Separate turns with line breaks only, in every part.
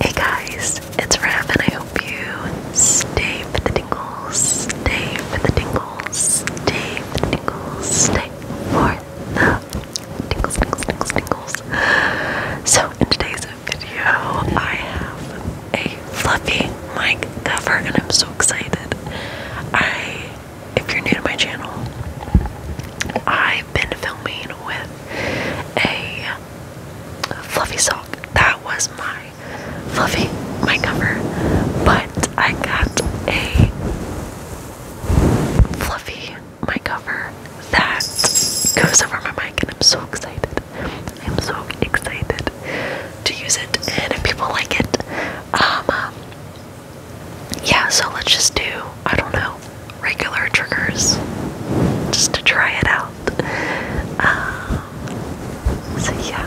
Hey guys, it's Ram and I hope you stay for the tingles, stay for the tingles, stay for the tingles, stay for the tingles, tingles, tingles, tingles. So in today's video, I have a fluffy mic cover and I'm so excited. I, if you're new to my channel, I've been filming with a fluffy sock. That was my fluffy, my cover. But I got a fluffy, my cover that goes over my mic, and I'm so excited. I'm so excited to use it, and if people like it, um, um yeah, so let's just do, I don't know, regular triggers just to try it out. Um, so, yeah.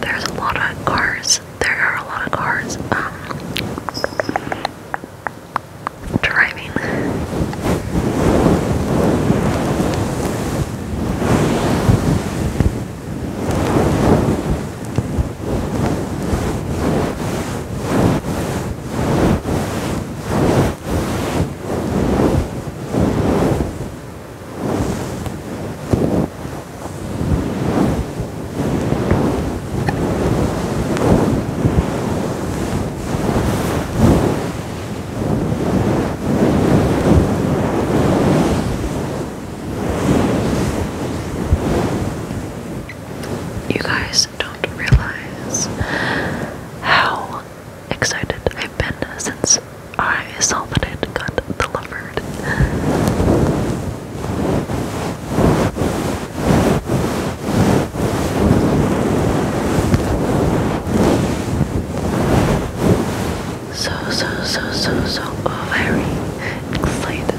There's a lot of cars. There are a lot of cars um, driving. You guys don't realize how excited I've been since I saw that it got delivered. So, so, so, so, so very excited.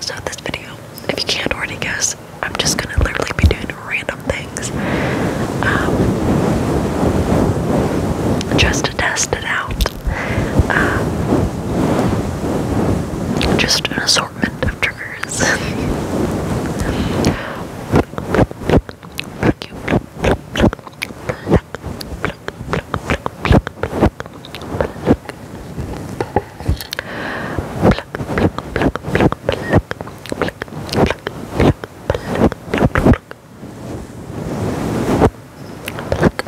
So this video, if you can't already guess, I'm just gonna literally be doing random things. Um, just to test it out. Um, just an assortment of triggers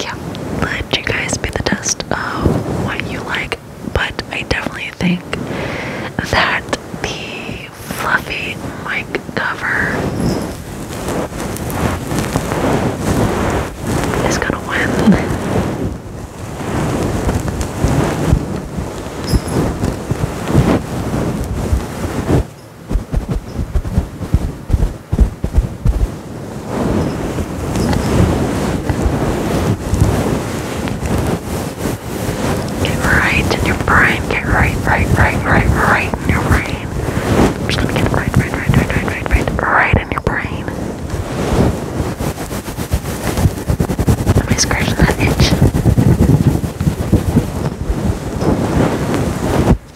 yeah, let you guys be the test of what you like. But I definitely think that the fluffy mic cover is gonna win. Get right in your brain. Get right, right, right, right, right in your brain. I'm just gonna get right, right, right, right, right, right, right, right in your brain. Am I scratching that itch?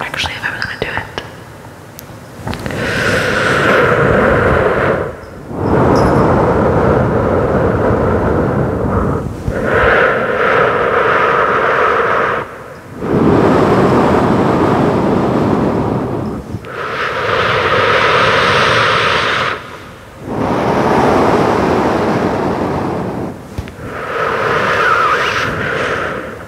Actually, if I'm gonna do it.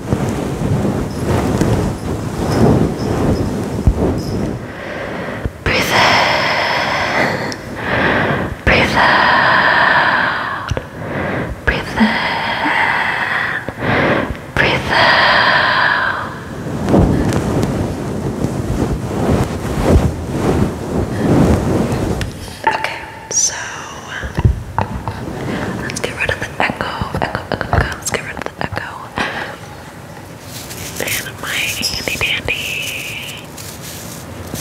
Breathe in, breathe out, breathe in, breathe out. Okay, so Let's get rid of the echo. Echo, echo, Let's get rid of the echo. And my handy dandy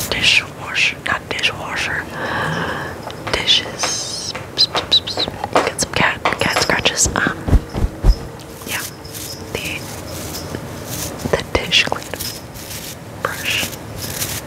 dishwasher, not dishwasher, dishes. Get some cat cat scratches. Um, yeah, the the dish cleaner brush.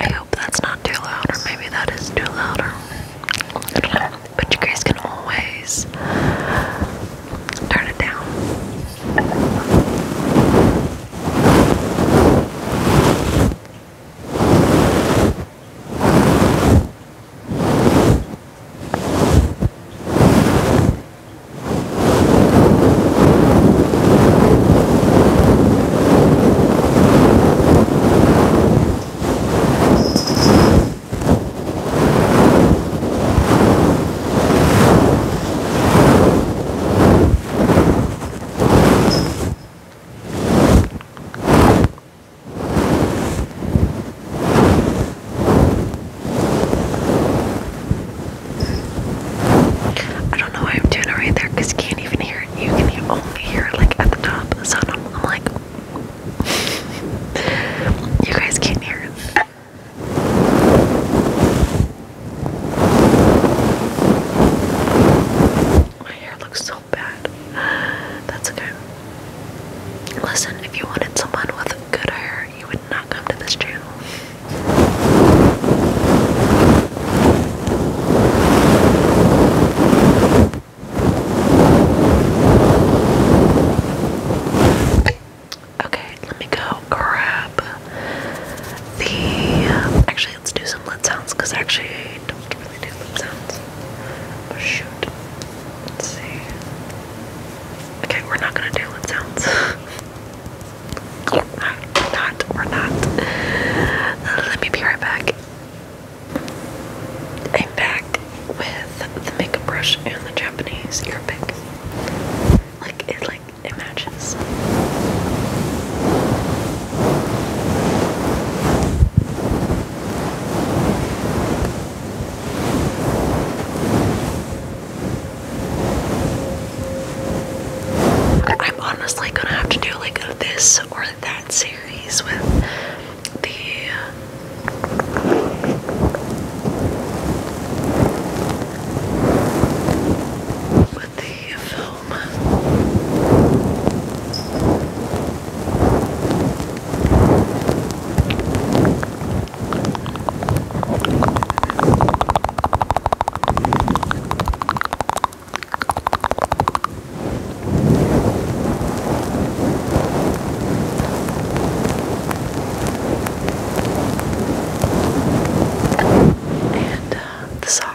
I hope that's not too loud, or maybe that is too loud, but you guys can always turn it down. I don't know why I'm doing it right there because you can't even hear it. You can only hear it like at the top. So I'm, I'm like you guys can't hear him. My hair looks so bad. That's okay. Listen, if you wanted someone with good hair, you would not come to this channel. Okay, let me go grab the. Actually, let's do some lid sounds because actually I don't really do lid sounds. Oh, shoot. Let's see. Okay, we're not gonna do lid sounds. not, not, we're not. Let me be right back. I'm back with the makeup brush and the Japanese ear Like it like it I'm honestly gonna have to do like this or that series. He's with the with the film. And uh, the sock.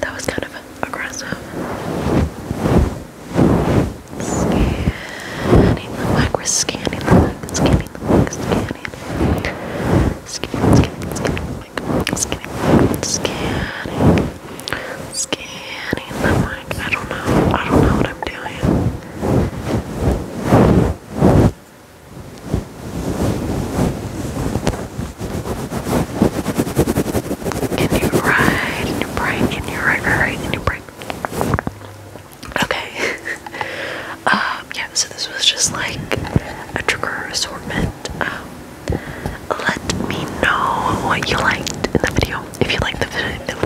That was kind of aggressive. Scanning the mic, we're scanning the mic, scanning the mic, scanning. Scanning, scanning, scanning scanning, scanning, I'm like, I don't know, I don't know what I'm doing. Can you ride? Can you break? Can you ride? Ride? Can you Okay. um. Yeah. So this was just like a trigger assortment. Um. Let me know what you liked in the video. If you liked the video,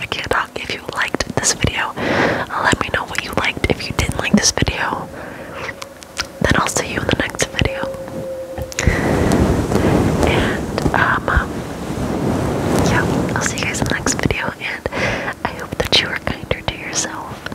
I can't talk. If you liked this video, let me know what you liked. If you didn't like this video, then I'll see you in the next video. And, um, um yeah, I'll see you guys in the next video. And I hope that you are kinder to yourself.